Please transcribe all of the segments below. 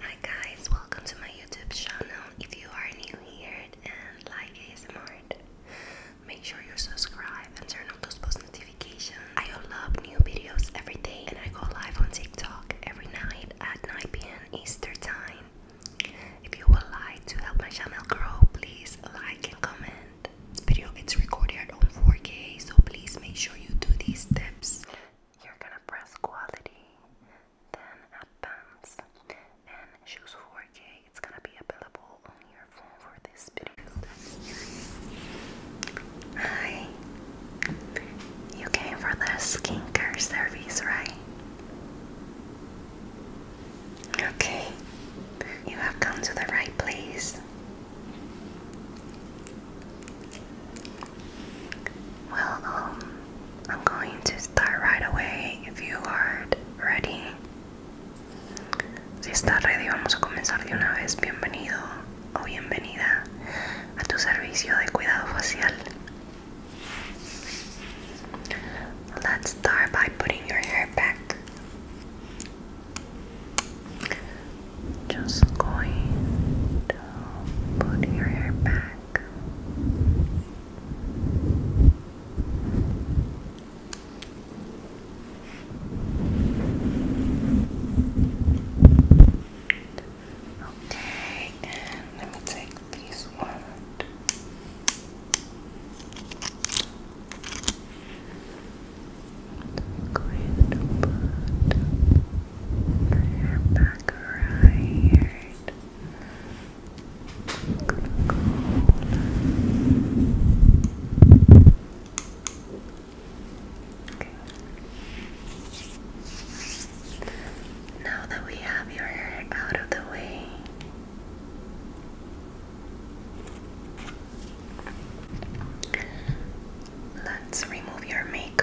Hi guys, welcome to my YouTube channel. If you are new here and like ASMR, make sure you subscribe and turn on those post notifications. I upload new videos every day and I go live on TikTok every night at 9 p.m. Easter time. If you would like to help my channel grow, please like and comment. This video is recorded on 4K, so please make sure you do these steps. You're gonna press quality then advanced, and choose 4K. It's gonna be available on your phone for this video. Hi, you came for the skincare service, right? Okay, you have come to the right place. Well, um, I'm going to start right away if you are ready. Si estás ready, vamos a comenzar de una vez. Bienvenido o bienvenida a tu servicio de cuidado facial. Let's start by putting your hair back. Just going to put your hair back back. Okay, and let me take this one. Great, but back right. Now that we have your hair out of the way, let's remove your makeup.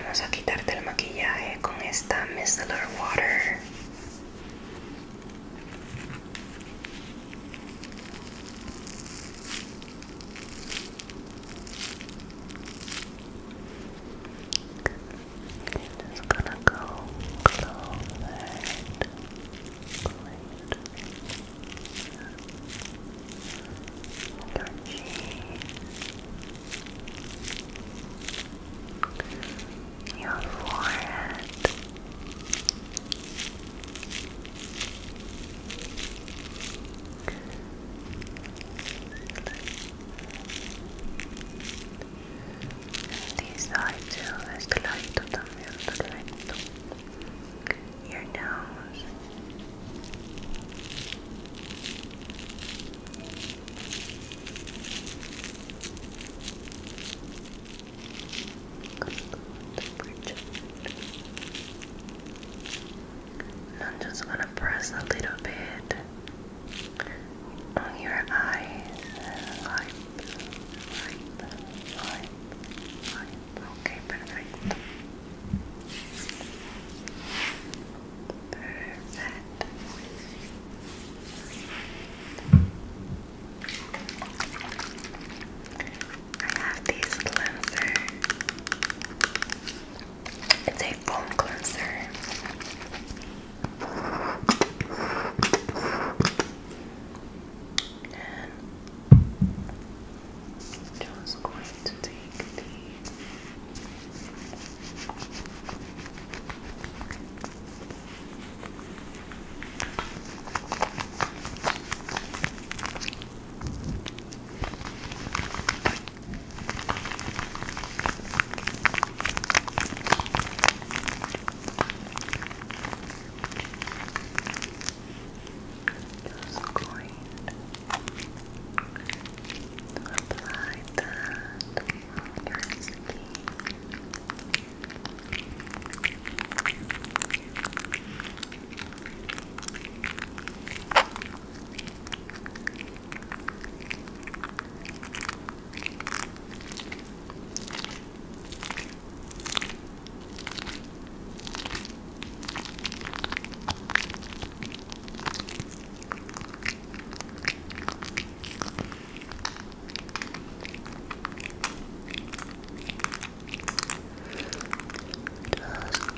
Vamos a quitarte el maquillaje con esta micellar water. touching your forehead. Este side too, este ladito también, your nose. And I'm just going to press a little bit on your eyes. Ok, perfecto. Perfecto. I have this cleanser. It's a foam cleanser and just going to take the just going to apply that on your skin. Just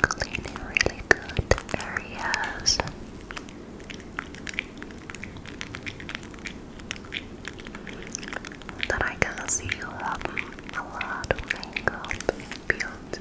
cleaning really good areas that I can see you have a lot of things makeup built.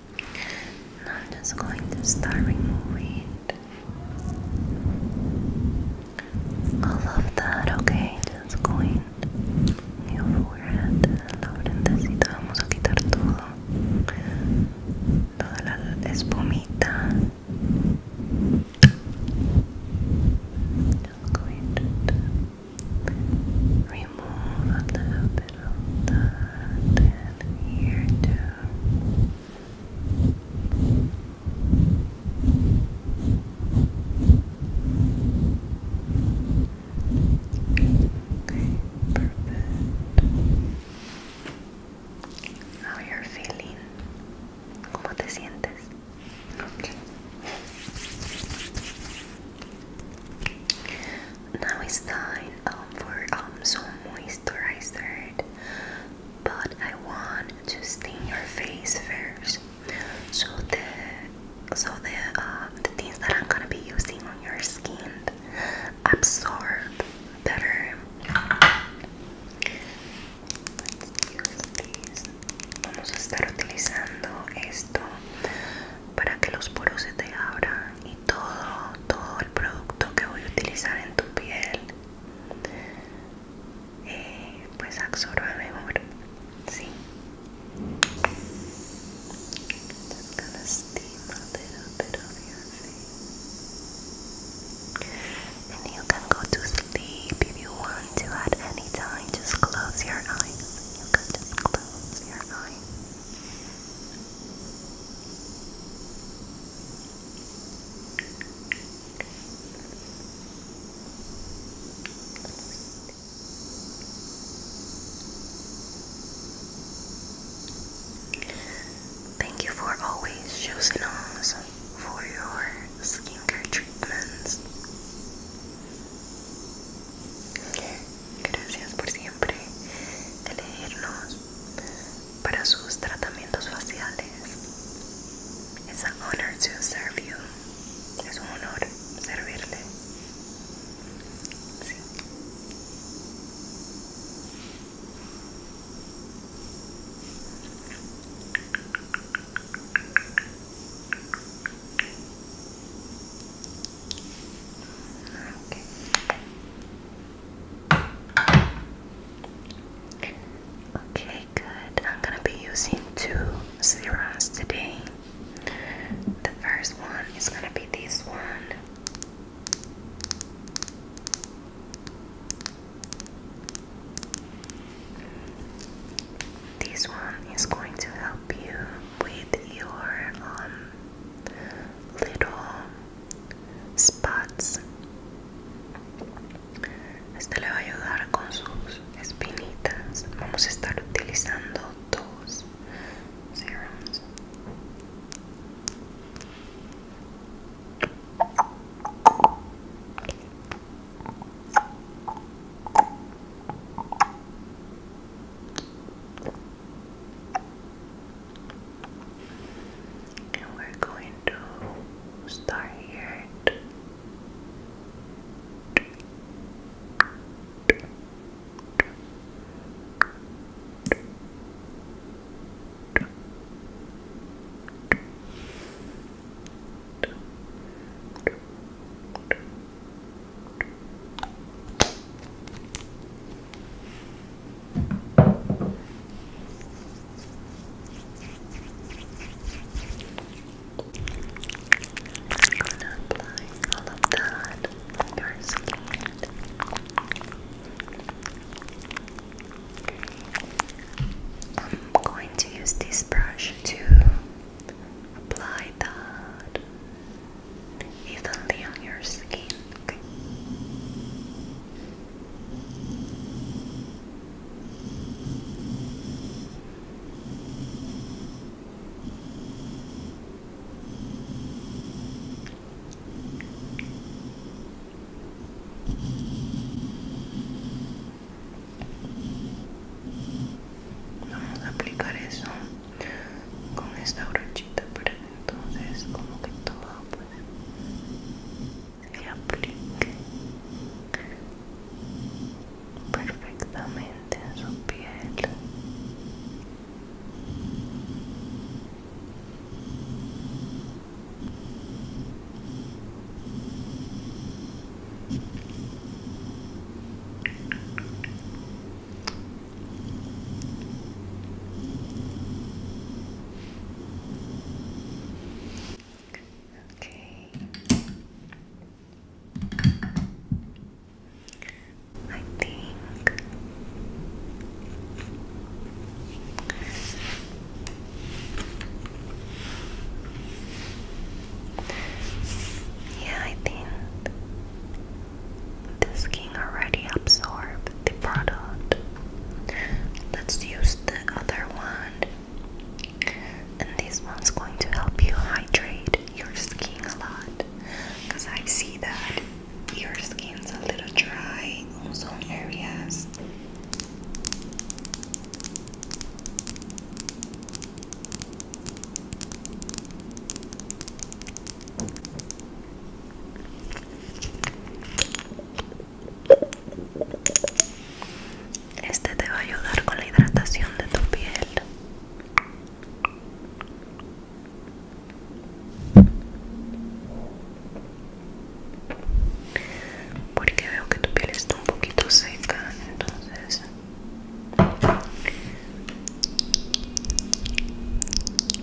I'm just going to start removing all of that, okay? Just going your forehead, la frentecita, vamos a quitar todo, toda la espumita. Just going to remove a little bit of that and here too. Okay, perfect. How you're feeling? ¿Cómo te sientes? Okay now it's time um, for um, some moisturizer but I want to stain your face first so the so the, uh, the things that I'm gonna be using on your skin absorb better Vamos a estar utilizando esto para que los poros se te abran todo, todo el producto que voy a utilizar en tu piel eh, pues absorba mejor sí Just gonna steam a little bit of your face. And you can go to sleep if you want to at any time. Just close your eyes. You can just close your eyes. Thank you for always choosing us for your skincare treatments. Gracias por siempre elegirnos para sus tratamientos faciales. It's honor Es un honor servirle. Okay, good. I'm gonna be using two serums today. The first one is gonna be this one. This one is going to help you with your um, little spots este le va a ayudar con sus espinitas vamos a estar utilizando dos serums and we're going to start here gonna apply all of that on I'm going to use this brush to apply that y también on your skin. Vamos a aplicar eso con esta brochita para entonces como que todo pues se aplique perfectamente en su piel Okay. I think yeah, I think this skin already absorbed the product. Let's use the other one. And this one's going to help you hydrate your skin a lot. Because I see that your skin's a little dry on some areas. Este te va a ayudar con la hidratación de tu piel. Porque veo que tu piel está un poquito seca, entonces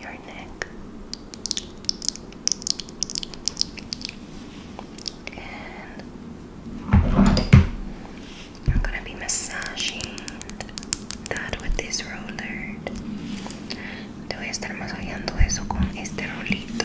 your neck and I'm gonna be massaging that with this roller te voy a estar masajeando eso con este rolito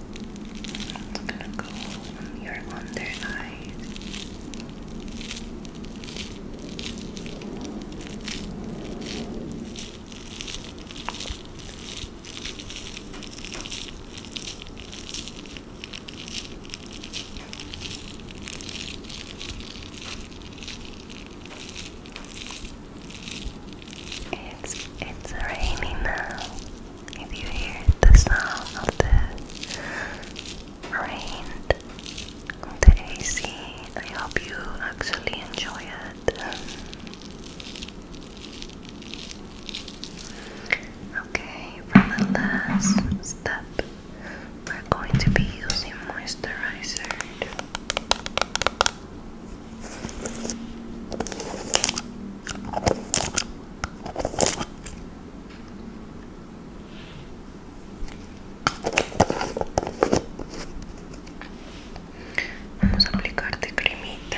It's gonna go on your under eye. It's it's raining now. If you hear the sound of the rain the AC, I hope you actually enjoy it. Okay, for the last step, we're going to be using moisturizer. Vamos a aplicar de cremita.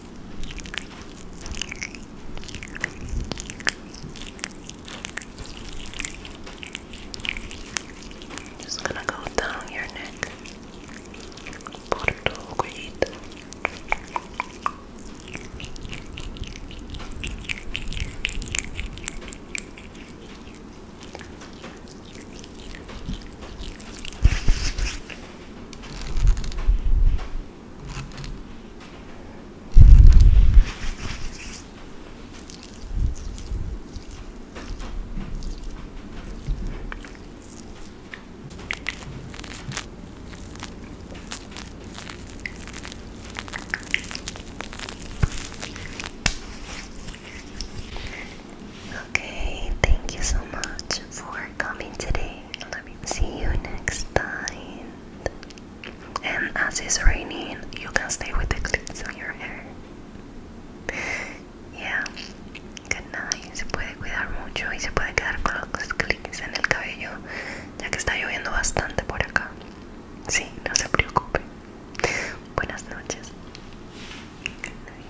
Just gonna go down your neck. Porto grito. Okay, thank you so much for coming today. see you next time. And as it's raining, you can stay with the clips on your hair. Yeah, good night. Se puede cuidar mucho y se puede quedar con los clips en el cabello, ya que está lloviendo bastante por acá. Sí, no se preocupe. Buenas noches. Good night.